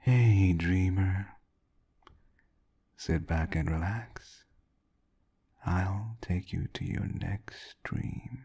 Hey, dreamer. Sit back and relax. I'll take you to your next dream.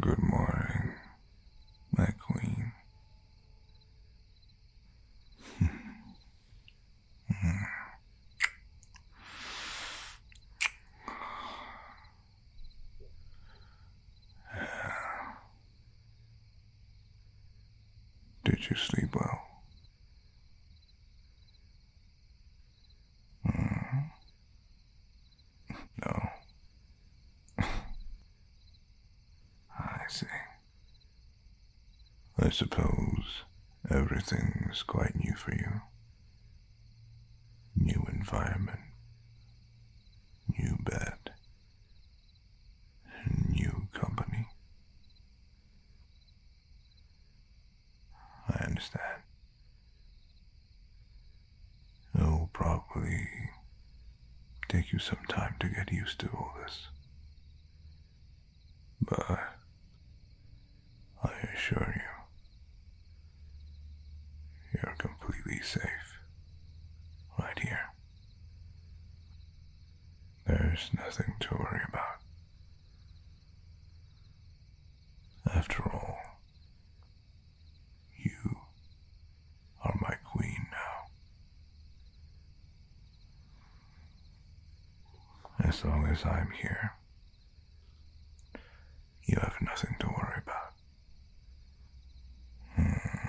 Good morning, my queen. Did you sleep well? Mm. No. I see. I suppose everything's quite new for you. New environment, new bed, new company, I understand. It'll probably take you some time to get used to all this. But I assure you, you're completely safe right here. There's nothing to worry about. After all, you are my queen now. As long as I'm here, you have nothing to worry about. Hmm.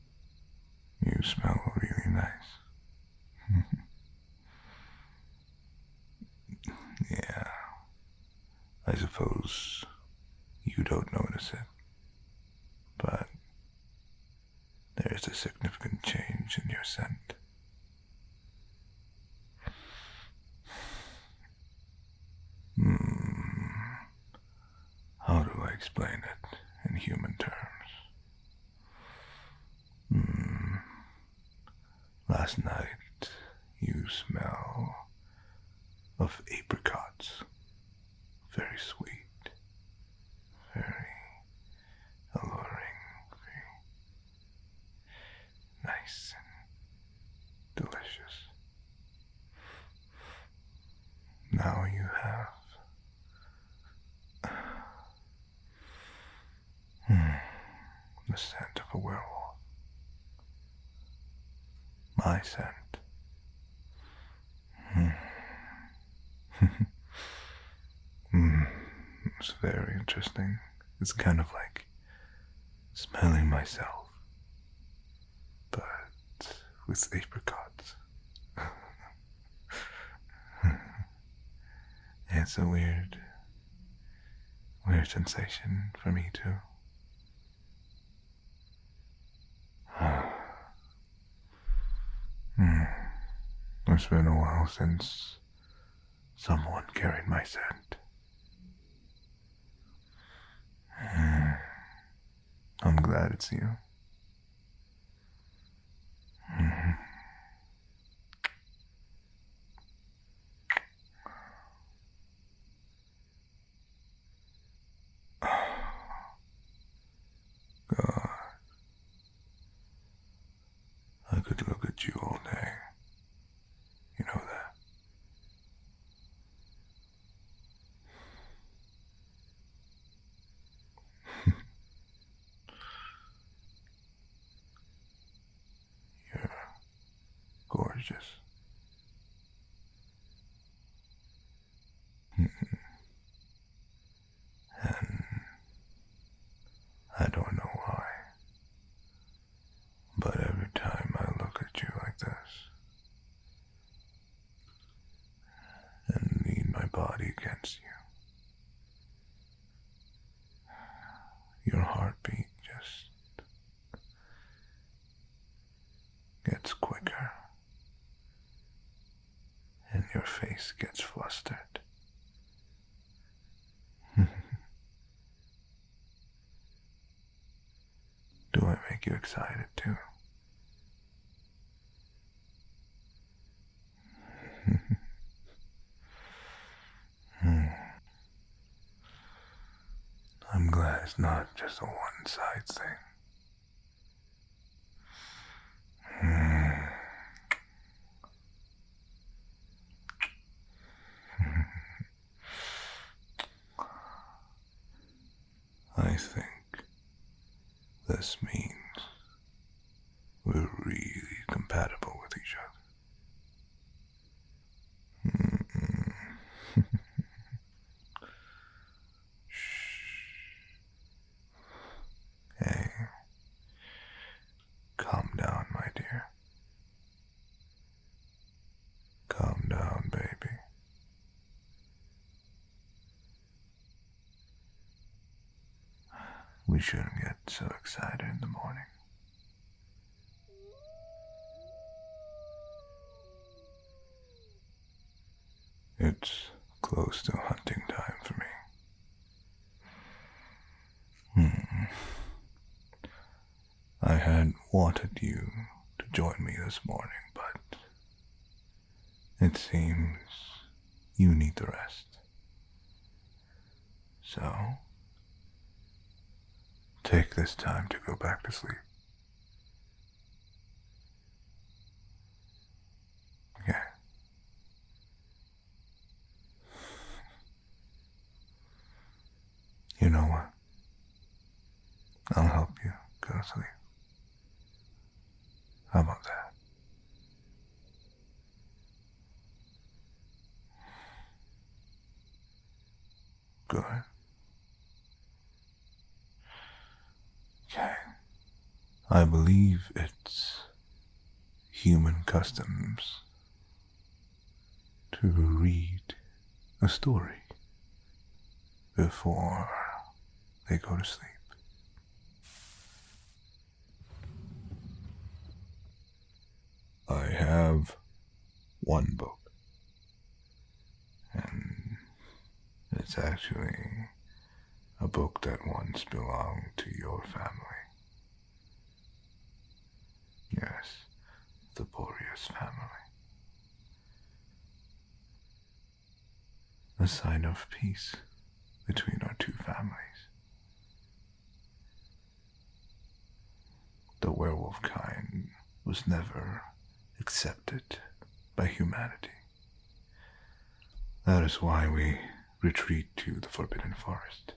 You smell really nice. yeah. I suppose you don't notice it, but there is a significant change in your scent. Hmm. How do I explain it in human terms? Hmm. Last night, you smell of apricots. Very sweet. Very alluring. Very nice and delicious. Now you have. Hmm. the scent of a werewolf. My scent. Hmm. Hmm. it's very interesting. It's kind of like smelling myself but with apricots. it's a weird, weird sensation for me too. Hmm. It's been a while since someone carried my scent. I'm glad it's you. God. I could look at you all day. You know that. You're gorgeous. and I don't know why. But every time I look at you like this and lean my body against you, your heartbeat just gets quicker and your face gets flustered. Do I make you excited too? hmm. I'm glad it's not just a one side thing. Hmm. I think this means we're really compatible with each other. Mm hey, calm down, my dear. Calm down, baby. We shouldn't get so excited in the morning. It's close to hunting time for me. Hmm. I had wanted you to join me this morning, but it seems you need the rest. So, take this time to go back to sleep. Okay. You know what? I'll help you go to sleep. How about that? Good. Okay. I believe it's human customs to read a story before they go to sleep. I have one book. And it's actually a book that once belonged to your family. Yes, the Boreas family. A sign of peace between our two families. The werewolf kind was never accepted by humanity. That is why we retreat to the Forbidden Forest.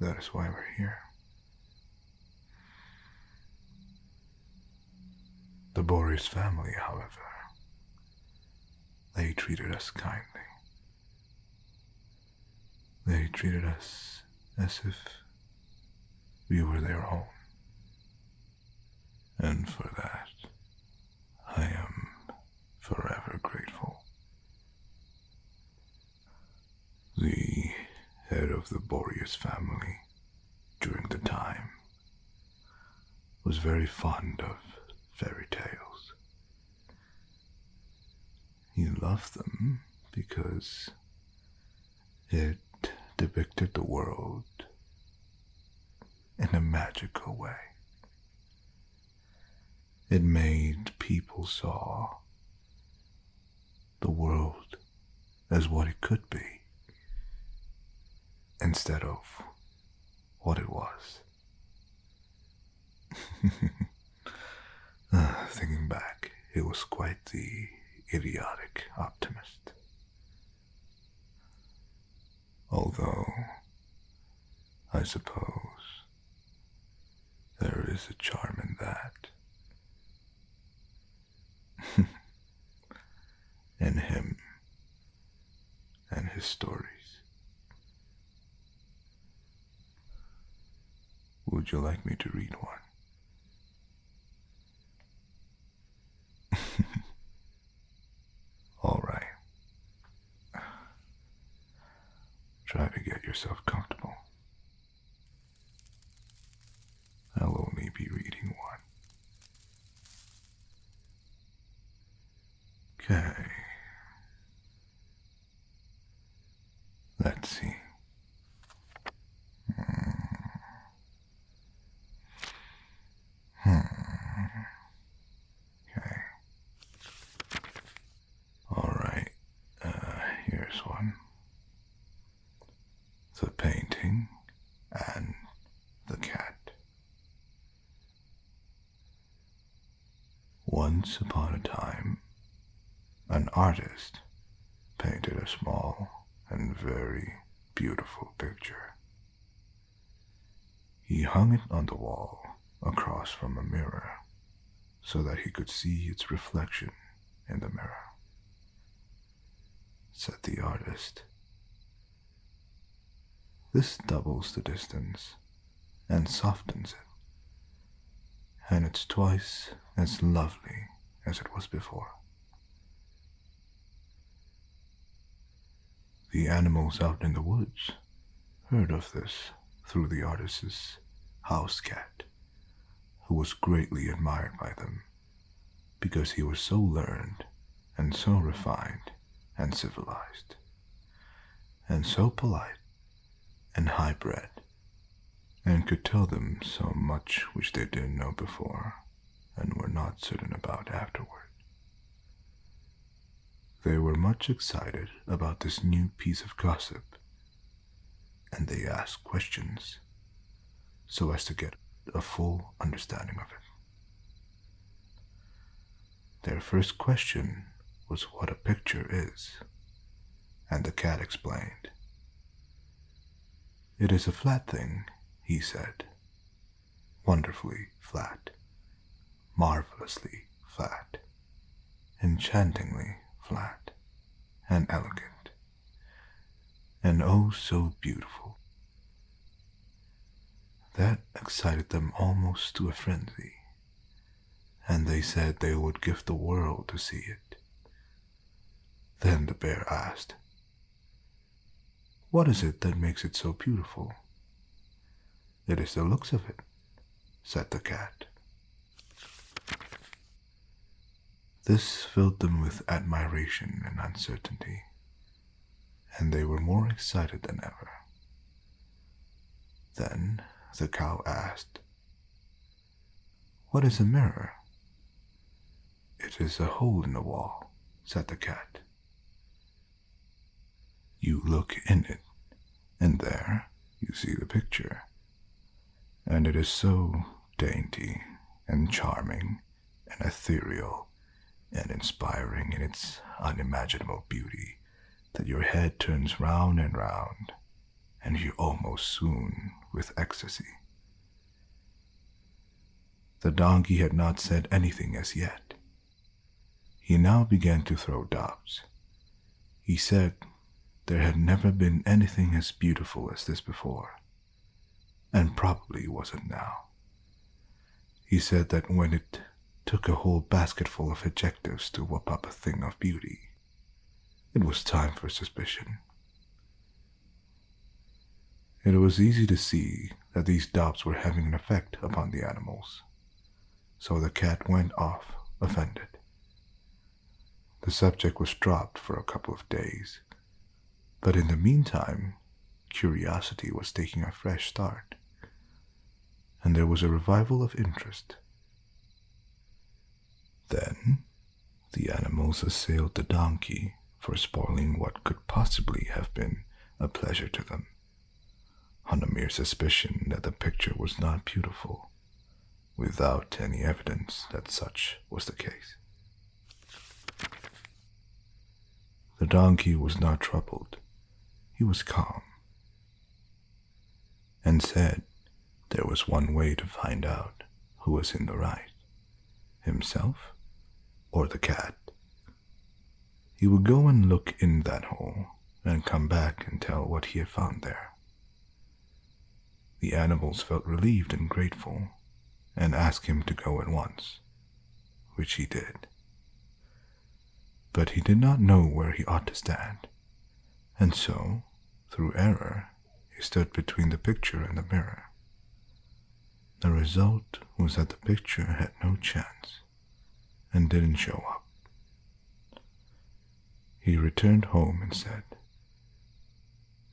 That is why we're here. The Boris family, however, they treated us kindly. They treated us as if we were their own. And for that, I am forever grateful the head of the Boreas family during the time, was very fond of fairy tales. He loved them because it depicted the world in a magical way. It made people saw the world as what it could be instead of what it was. Uh, thinking back, he was quite the idiotic optimist. Although, I suppose there is a charm in that. in him and his stories. Would you like me to read one? All right. Try to get yourself comfortable. I'll only be reading one. Okay. Let's see. Hmm. hmm. Okay. All right. Uh, here's one. The painting and the cat. Once upon a time, an artist painted a small and very beautiful picture. He hung it on the wall across from a mirror so that he could see its reflection in the mirror. Said the artist, This doubles the distance and softens it, and it's twice as lovely as it was before. The animals out in the woods heard of this through the artist's house cat, who was greatly admired by them because he was so learned and so refined and civilized, and so polite and high bred, and could tell them so much which they didn't know before and were not certain about afterward. They were much excited about this new piece of gossip, and they asked questions so as to get a full understanding of it. Their first question was what a picture is, and the cat explained. It is a flat thing, he said, wonderfully flat, marvelously flat, enchantingly flat, and elegant, and oh so beautiful. That excited them almost to a frenzy, and they said they would give the world to see it. Then the bear asked, What is it that makes it so beautiful? It is the looks of it, said the cat. This filled them with admiration and uncertainty, and they were more excited than ever. Then the cow asked, What is a mirror? It is a hole in the wall, said the cat. You look in it, and there you see the picture. And it is so dainty and charming and ethereal and inspiring in its unimaginable beauty that your head turns round and round, and you almost swoon with ecstasy. The donkey had not said anything as yet, he now began to throw doubts. He said there had never been anything as beautiful as this before, and probably wasn't now. He said that when it took a whole basketful of adjectives to whip up a thing of beauty, it was time for suspicion. It was easy to see that these doubts were having an effect upon the animals. So the cat went off, offended. The subject was dropped for a couple of days, but in the meantime, curiosity was taking a fresh start, and there was a revival of interest. Then, the animals assailed the donkey for spoiling what could possibly have been a pleasure to them on the mere suspicion that the picture was not beautiful, without any evidence that such was the case. The donkey was not troubled, he was calm, and said there was one way to find out who was in the right himself or the cat he would go and look in that hole and come back and tell what he had found there. The animals felt relieved and grateful and asked him to go at once, which he did. But he did not know where he ought to stand, and so, through error, he stood between the picture and the mirror. The result was that the picture had no chance and didn't show up. He returned home and said,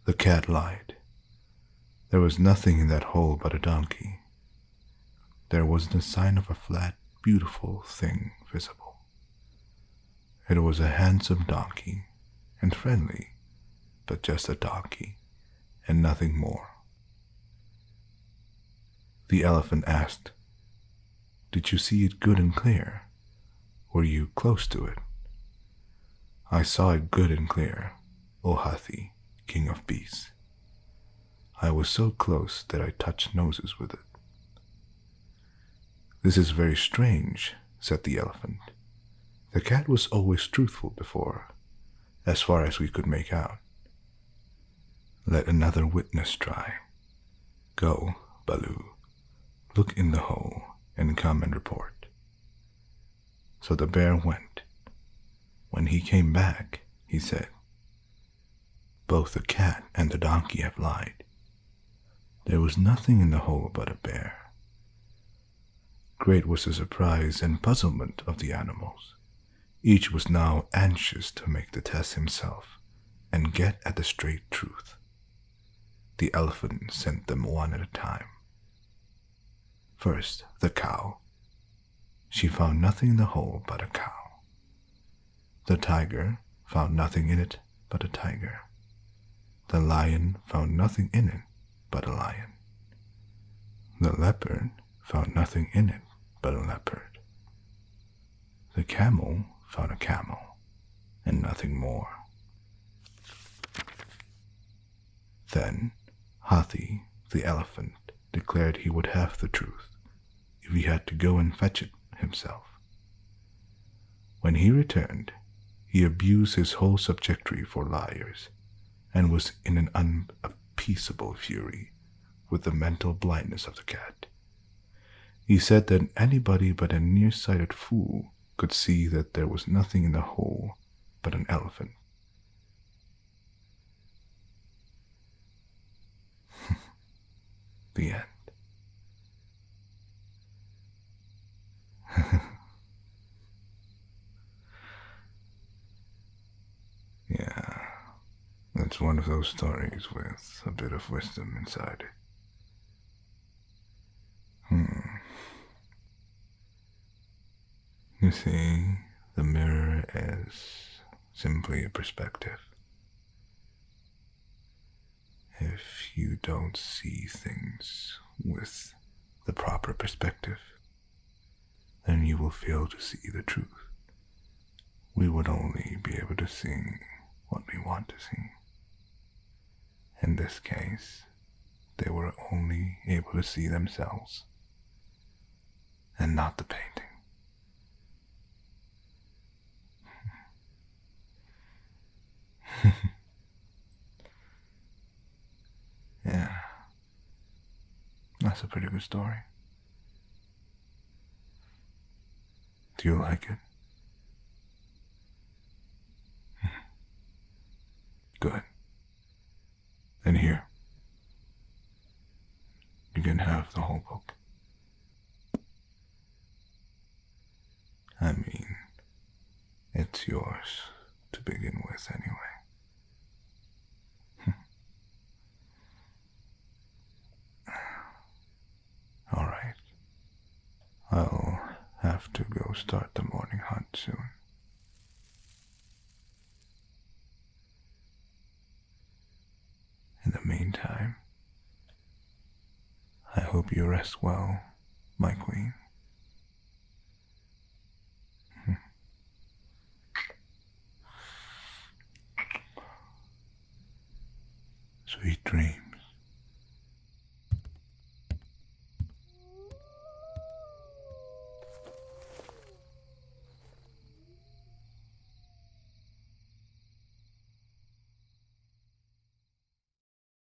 The cat lied. There was nothing in that hole but a donkey. There wasn't a sign of a flat, beautiful thing visible. It was a handsome donkey and friendly, but just a donkey and nothing more. The elephant asked, Did you see it good and clear? Were you close to it? I saw it good and clear, O Hathi, king of beasts. I was so close that I touched noses with it. This is very strange, said the elephant. The cat was always truthful before, as far as we could make out. Let another witness try. Go, Baloo. Look in the hole and come and report. So the bear went. When he came back, he said, Both the cat and the donkey have lied. There was nothing in the hole but a bear. Great was the surprise and puzzlement of the animals. Each was now anxious to make the test himself and get at the straight truth. The elephant sent them one at a time. First, the cow. She found nothing in the hole but a cow. The tiger found nothing in it but a tiger. The lion found nothing in it but a lion. The leopard found nothing in it but a leopard. The camel found a camel and nothing more. Then Hathi, the elephant, declared he would have the truth if he had to go and fetch it himself. When he returned, he abused his whole subjectry for liars and was in an unappeasable fury with the mental blindness of the cat. He said that anybody but a nearsighted fool could see that there was nothing in the hole but an elephant. the end. yeah, that's one of those stories with a bit of wisdom inside. Hmm. You see, the mirror is simply a perspective. If you don't see things with the proper perspective, then you will fail to see the truth. We would only be able to see what we want to see. In this case, they were only able to see themselves and not the painting. Yeah. That's a pretty good story. Do you like it? Hmm. Good. And here. You can have the whole book. I mean, it's yours to begin with, anyway. Hmm. All right. I'll have to go start the morning hunt soon. In the meantime, I hope you rest well, my queen. Hmm. Sweet dreams.